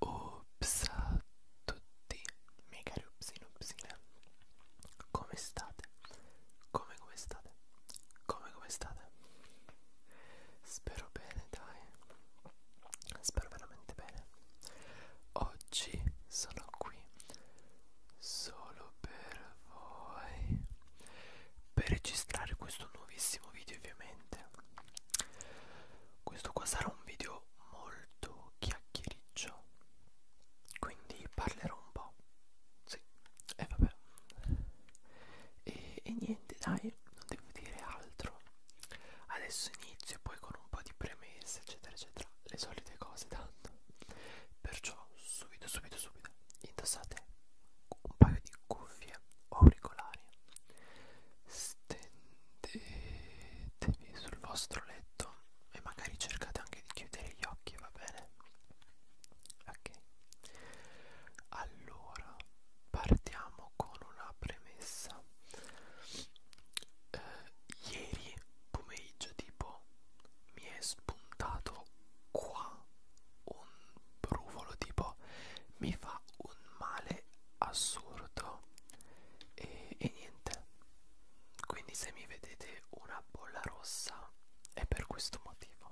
Ops a tutti, miei cari upsine upsine Come state? Come come state? Come come state? Spero bene dai Spero veramente bene Oggi sono qui solo per voi per registrare questo nuovissimo video ovviamente questo qua sarà un video molto chiacchiericcio quindi parlerò un po' sì e eh, vabbè e, e niente dai non devo dire altro adesso inizio poi con un po' di premesse eccetera eccetera le solite cose tanto perciò subito subito subito indossate un paio di cuffie o auricolari stendetevi sul vostro letto e magari cercate anche di chiudere gli occhi va bene ok allora partiamo con una premessa eh, ieri pomeriggio tipo mi è spuntato qua un brufolo tipo mi fa un male assurdo e, e niente quindi se mi vedete una bolla rossa è per questo motivo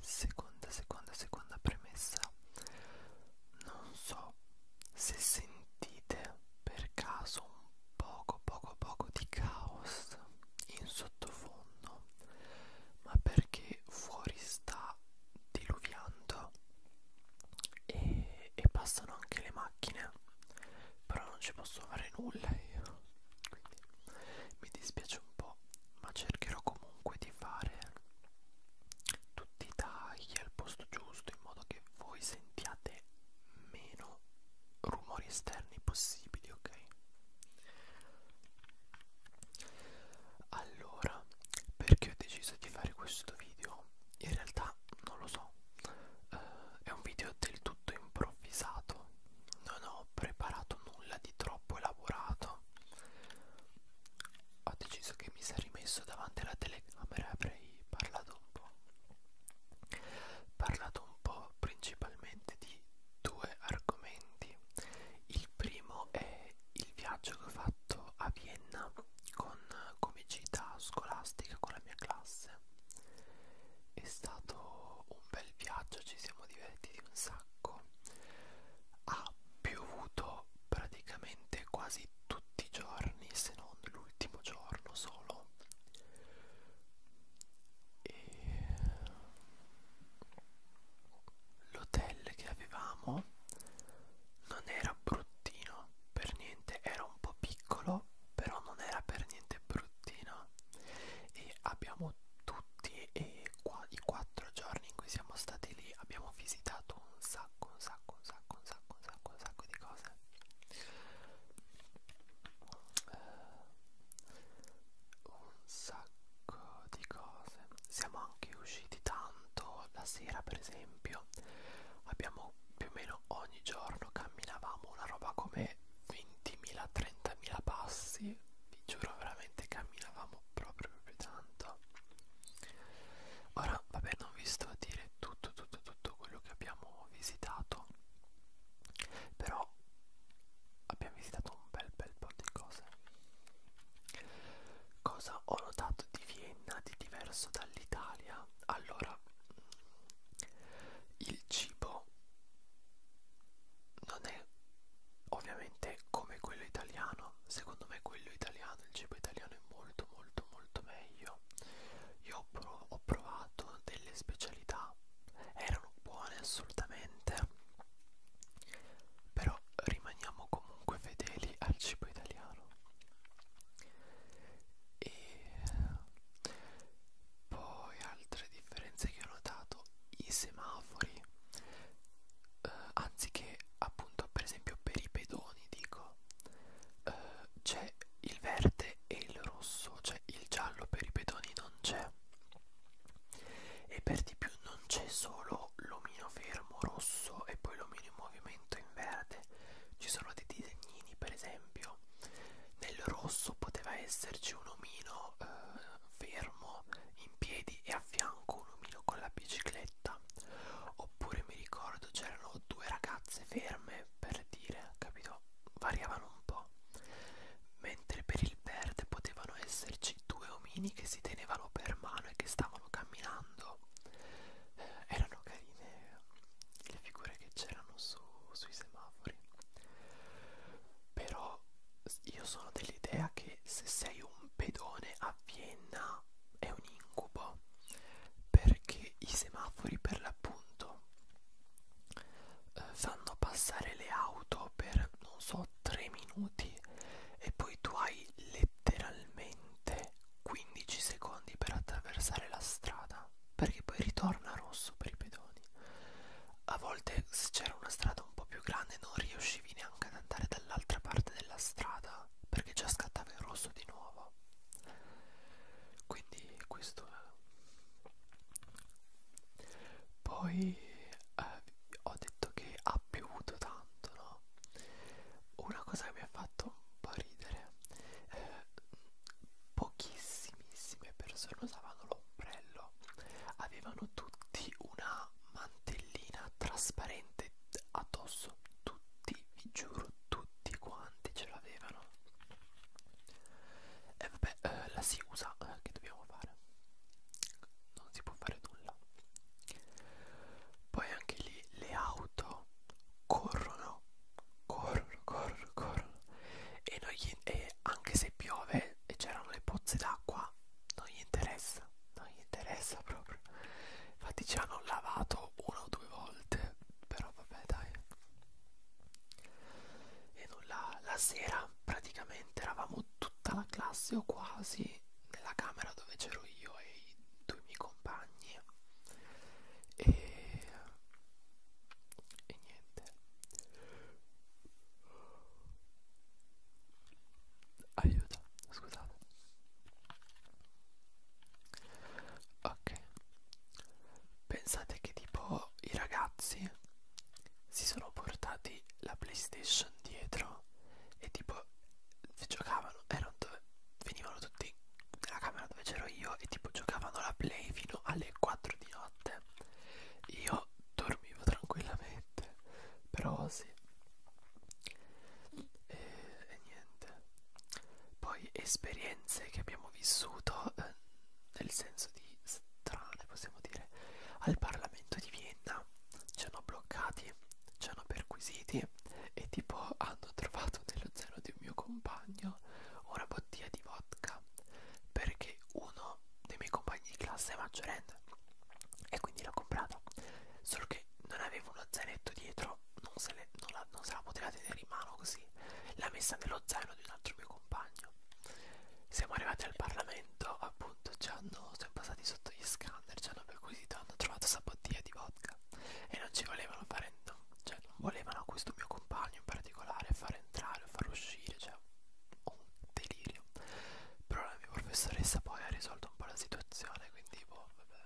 seconda seconda seconda premessa non so se sentite per caso un poco poco poco di caos in sottofondo ma perché fuori sta diluviando e, e passano anche le macchine però non ci posso fare nulla io quindi mi dispiace un po' ma cercherò comunque di fare tutti i tagli al posto giusto in modo che voi sentiate meno rumori esterni interni possibili, ok? Allora, perché ho deciso di fare questo video? In realtà non lo so, uh, è un video del tutto improvvisato, non ho preparato nulla di troppo elaborato. Ho deciso che mi sarei messo davanti alla telecamera e avrei parlato un po' parlato un po' principalmente di due argomenti. Il primo è il viaggio che ho fatto a Vienna con comicità scolastica con la mia classe. È stato un bel viaggio, ci siamo divertiti un sacco. Ha piovuto praticamente quasi tutti i giorni, se non l'ultimo giorno solo, e l'hotel che avevamo non era bruttino per niente era un po' piccolo però non era per niente bruttino e abbiamo tutti e qua, i quattro giorni in cui siamo stati lì abbiamo visitato un sacco un sacco un sacco un sacco un sacco un sacco di cose un sacco di cose siamo anche usciti tanto la sera per esempio abbiamo più o meno ogni giorno camminavamo una roba come 20.000 30.000 passi vi giuro veramente camminavamo proprio proprio tanto ora vabbè non vi sto a dire tutto tutto tutto quello che abbiamo visitato però abbiamo visitato un bel bel po' di cose cosa ho notato di Vienna di diverso dall'Italia allora mm, il cibo non è ovviamente come quello italiano secondo me quello italiano il cibo italiano è molto molto molto meglio io ho provato delle specialità erano buone assolutamente però rimaniamo comunque fedeli al cibo italiano e poi altre differenze che ho notato i semafori eh, anziché appunto per esempio per i pedoni dico eh, c'è il verde e il rosso, cioè il giallo per i pedoni non c'è e per di più non c'è solo l'omino fermo rosso e poi l'omino in movimento in verde ci sono dei disegnini per esempio nel rosso poteva esserci un omino eh, fermo in piedi e a fianco un omino con la bicicletta oppure mi ricordo c'erano due ragazze ferme per dire, capito? Variavano un po'. Mentre per il verde potevano esserci due omini che si tenevano per mano e che stavano camminando. Eh, erano carine le figure che c'erano su, sui semafori. Però io sono dell'idea che se sei un pedone a Vienna è un incubo perché i semafori per l'appunto eh, fanno passare le auto per non so 3 minuti e poi tu hai letteralmente 15 secondi per attraversare la strada perché poi ritorna rosso per i pedoni a volte se c'era una strada un po' più grande non riuscivi neanche ad andare dall'altra parte della strada perché già scattava il rosso di nuovo quindi questo poi eh, ho detto che ha piovuto tanto, no? Una cosa che mi ha fatto un po' ridere, eh, pochissimissime persone usavano l'ombrello, avevano tutti una mantellina trasparente addosso, tutti, vi giuro, tutti quanti ce l'avevano. E vabbè, eh, la si usa, eh, che dobbiamo fare? Non si può fare nulla. Poi anche lì le auto corrono, corrono, corrono, corrono. E, non gli, e anche se piove e c'erano le pozze d'acqua, non gli interessa, non gli interessa proprio. Infatti ci hanno lavato una o due volte, però vabbè dai e nulla la sera praticamente eravamo tutta la classe o quasi nella camera dove c'ero io e i due miei compagni e, e niente aiuto scusate ok Pensate che tipo i ragazzi si sono portati la PlayStation dietro e tipo giocavano, erano dove, venivano tutti nella camera dove c'ero io e tipo giocavano la Play fino alle 4 di notte. Io dormivo tranquillamente, però sì. E, e niente. Poi esperienze che abbiamo vissuto eh, nel senso di strane, possiamo dire, al Parlamento di Vienna. Ci hanno bloccati, ci hanno perquisiti e tipo hanno trovato nello zaino di un mio compagno una bottiglia di vodka perché uno dei miei compagni di classe è maggiorenne e quindi l'ho comprata. Solo che non avevo uno zainetto dietro, non se, le, non la, non se la poteva tenere in mano così. L'ha messa nello zaino di un altro mio compagno compagno. Siamo arrivati al Parlamento, appunto, ci hanno, siamo passati sotto gli scanner, ci hanno perquisito, hanno trovato sta bottiglia di vodka e non ci volevano fare, no, cioè non volevano questo mio compagno in particolare far entrare o far uscire, cioè un delirio. Però la mia professoressa poi ha risolto un po' la situazione, quindi boh, vabbè.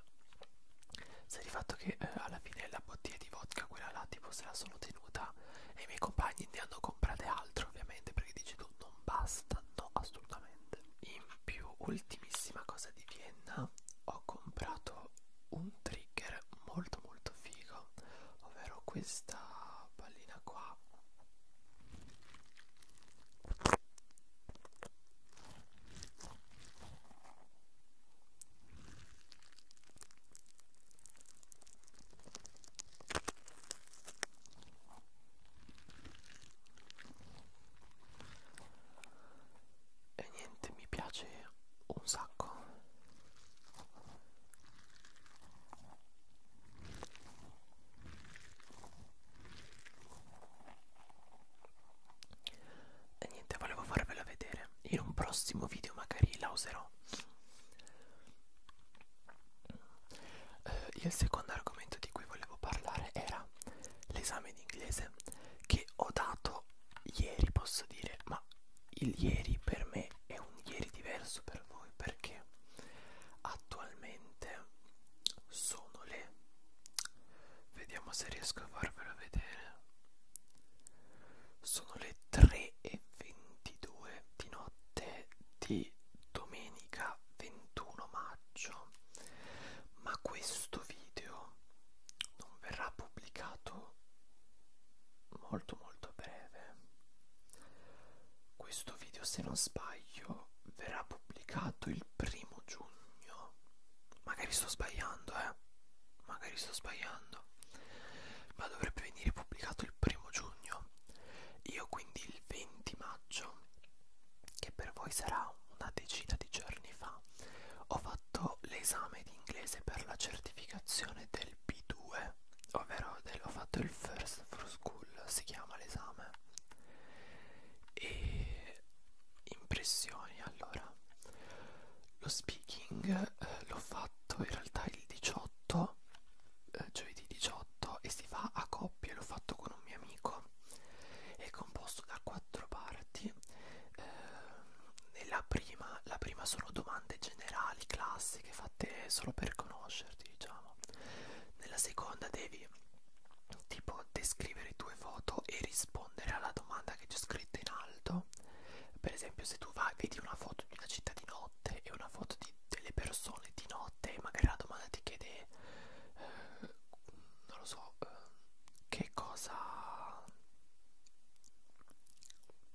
Sai di fatto che eh, alla fine la bottiglia di vodka, quella là, tipo se la sono tenuta tenuta e i miei compagni ne hanno comprate altre ovviamente perché dici tu non basta, no assolutamente. In più, ultimissima cosa di Vienna, ho comprato un trigger molto molto figo, ovvero questa pallina qua e niente mi piace un sacco e niente volevo farvela vedere in un prossimo video magari la userò eh, il secondo argomento di cui volevo parlare era l'esame di inglese che ho dato ieri posso dire ma il ieri per me è un ieri diverso per voi perché attualmente sono le vediamo se riesco a farvelo vedere sono le 3.22 di notte di domenica 21 maggio, ma questo video non verrà pubblicato molto molto a breve. Questo video, se non sbaglio, verrà pubblicato il primo giugno. Magari sto sbagliando, eh? Magari sto sbagliando pubblicato ma dovrebbe venire pubblicato il primo giugno io quindi il 20 maggio che per voi sarà una decina di giorni fa ho fatto l'esame di inglese per la certificazione del B2 ovvero del, ho fatto il first for school si chiama l'esame e impressioni allora lo speaking eh, l'ho fatto in realtà il 18 eh, giovedì 18 e si fa a coppie l'ho fatto con un mio amico è composto da quattro parti eh, nella prima la prima sono domande generali classiche fatte solo per conoscerti diciamo nella seconda devi tipo descrivere tue foto e rispondere alla domanda che c'è scritta in alto per esempio se tu vai vedi una foto di una città di notte e una foto di, delle persone di notte e magari la domanda ti chiede eh, non lo so eh, che cosa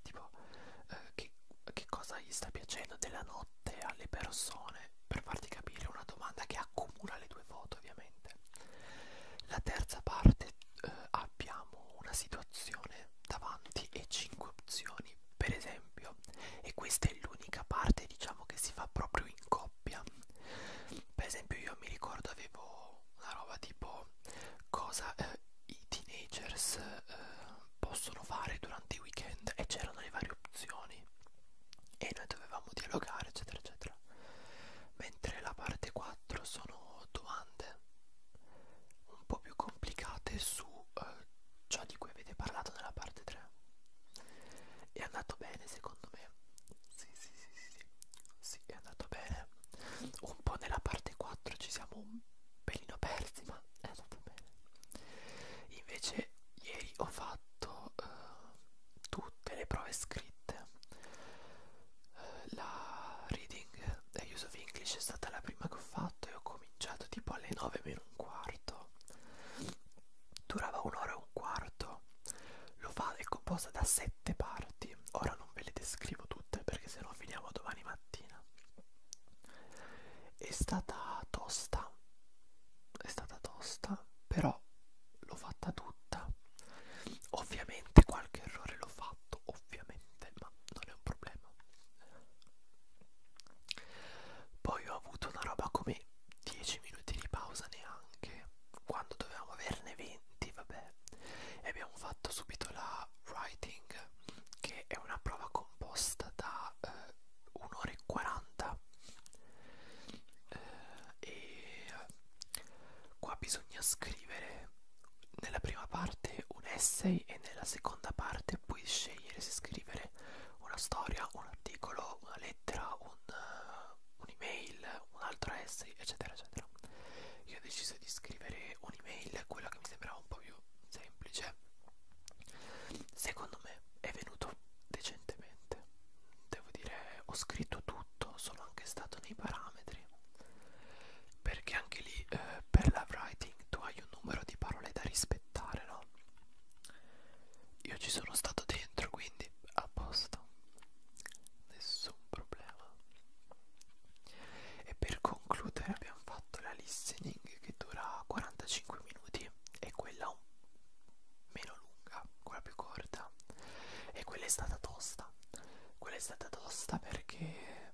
tipo eh, che, che cosa gli sta piacendo della notte alle persone per farti capire una domanda che accomuna le due foto ovviamente la terza parte eh, ha abbiamo una situazione davanti e 5 opzioni per esempio e questa è l'unica parte diciamo che si fa proprio in coppia per esempio io mi ricordo avevo una roba tipo cosa eh, i teenagers eh, possono fare durante i weekend e c'erano le varie opzioni e noi dovevamo dialogare eccetera eccetera mentre la parte 4 sono domande un po' più complicate su eh, ciò di cui avete parlato nella parte 3. È andato bene secondo me. Sì, sì, sì, sì, sì. Sì, è andato bene. Un po' nella parte 4 ci siamo un pelino persi, ma è andato bene. Invece ieri ho fatto eh, tutte le prove scritte. Eh, la reading la Use of English è stata la prima che ho fatto e ho cominciato tipo alle 9 meno un quarto durava un'ora e un quarto lo fa, è composta da sette parti ora non ve le descrivo tutte perché se no finiamo domani mattina è stata tosta è stata tosta però l'ho fatta tutta ovviamente qualche errore l'ho fatto ho ovviamente, ma non è un problema. Poi ho avuto una roba come 10 minuti di pausa neanche, quando dovevamo averne 20, vabbè. E abbiamo fatto subito la writing, che è una prova composta da eh, 1 ora e 40. Eh, e qua bisogna scrivere nella prima parte un essay e nella seconda parte puoi scegliere se scrivere una storia, un articolo, una lettera, un'email, eh, uh, un altro essay, eccetera, eccetera. Io ho deciso di scrivere un'email, quella che mi sembrava un po' più semplice. Secondo me è venuto decentemente. Devo dire, ho scritto tutto, sono anche stato nei parametri perché anche lì eh, per la writing tu hai un numero di parole da rispettare, no? Io ci sono stato dentro, quindi a posto, nessun problema. E per concludere abbiamo fatto la listening che dura 45 minuti e quella un meno lunga, quella più corta e quella è stata tosta. Quella è stata tosta perché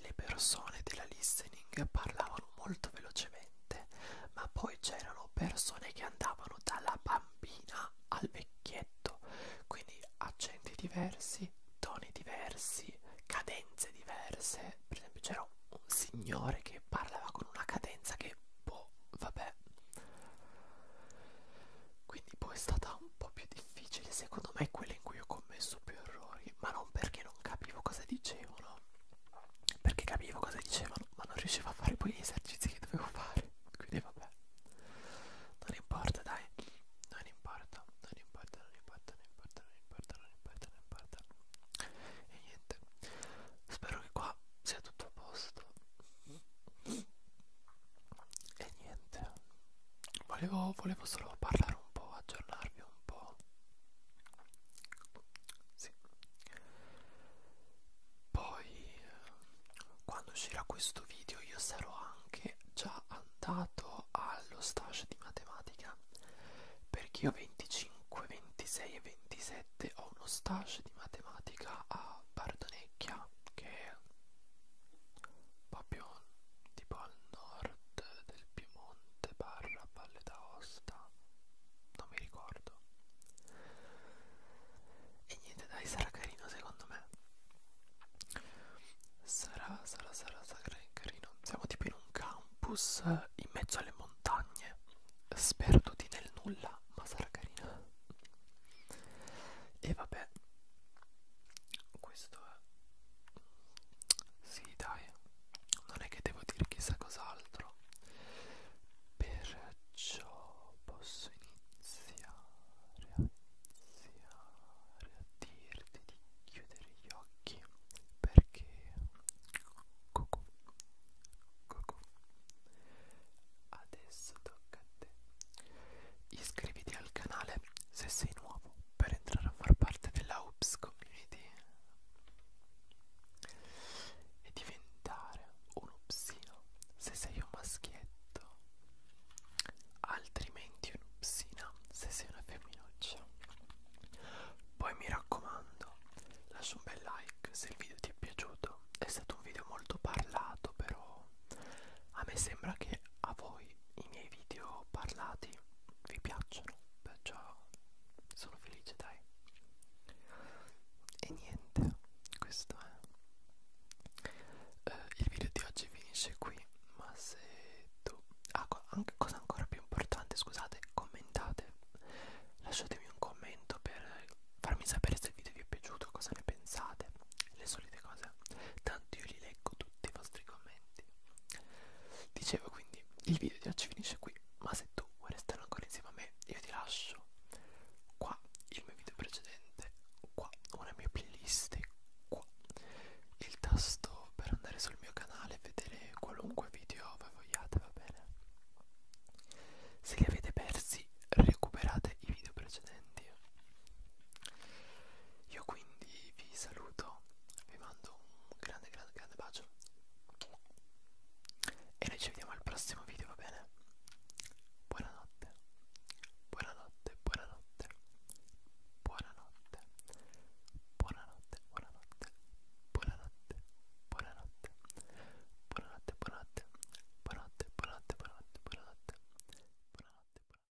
le persone della listening parlavano molto velocemente, ma poi c'erano persone che andavano dalla bambina al vecchietto, quindi accenti diversi, toni diversi, cadenze diverse. Per esempio, c'era un signore che parlava con una cadenza che, boh, vabbè. Quindi poi boh, è stata un po' più difficile difficili secondo me quelle in cui ho commesso più errori, ma non perché non capivo cosa dicevano, perché capivo cosa dicevano, ma non riuscivo a fare poi gli esercizi che dovevo fare, quindi vabbè, non importa dai, non importa, non importa, non importa, non importa, non importa, non importa, non importa, e niente, spero che qua sia tutto a posto. E niente, volevo, volevo solo parlare un po', aggiornarvi un po'. Sì. Poi quando uscirà questo video io sarò anche già andato allo stage di matematica perché io 25, 26 e 27 ho uno stage di matematica a Bardonecchia che è proprio tipo al nord del Piemonte barra Valle d'Aosta non mi ricordo e niente dai sarà carino secondo me sarà sarà sarà sarà carino siamo tipo in un campus in mezzo alle montagne sperduti nel nulla ma sarà carino e vabbè questo è sì, dai, non è che devo dire chissà cos'altro. Perciò posso iniziare a iniziare a dirti di chiudere gli occhi perché cucù, cucù. adesso tocca a te iscriviti al canale se sei nuovo per entrare a far parte della Oops Community e diventare un upsino se sei un maschietto, altrimenti un'upsina se sei una femminuccia. Poi mi raccomando, lascia un bel like se il video ti è piaciuto, è stato un video molto parlato però a me sembra che a voi voi i miei video parlati vi piacciono, perciò sono felice dai. E niente, questo è. Eh, il video di oggi finisce qui, ma se tu... Ah, co anche, cosa ancora più importante, scusate, commentate, lasciatemi un commento per farmi sapere se il video vi è piaciuto, cosa ne pensate, le solite cose. Tanto io li leggo tutti i vostri commenti talenti. Dicevo quindi, il video di oggi finisce qui, ma se tu vuoi restare ancora insieme a me, io ti lascio qua il mio video precedente, qua una mia playlist, qua il tasto per andare sul mio canale e vedere qualunque video voi vogliate, va bene? Se li avete persi, recuperate i video precedenti. Io quindi vi saluto, vi mando un grande grande grande bacio e noi ci vediamo al prossimo video, va bene? Buonanotte, buonanotte, buonanotte, buonanotte, buonanotte, buonanotte, buonanotte, buonanotte, buonanotte, buonanotte, buonanotte, buonanotte, buonanotte, buonanotte, buonanotte.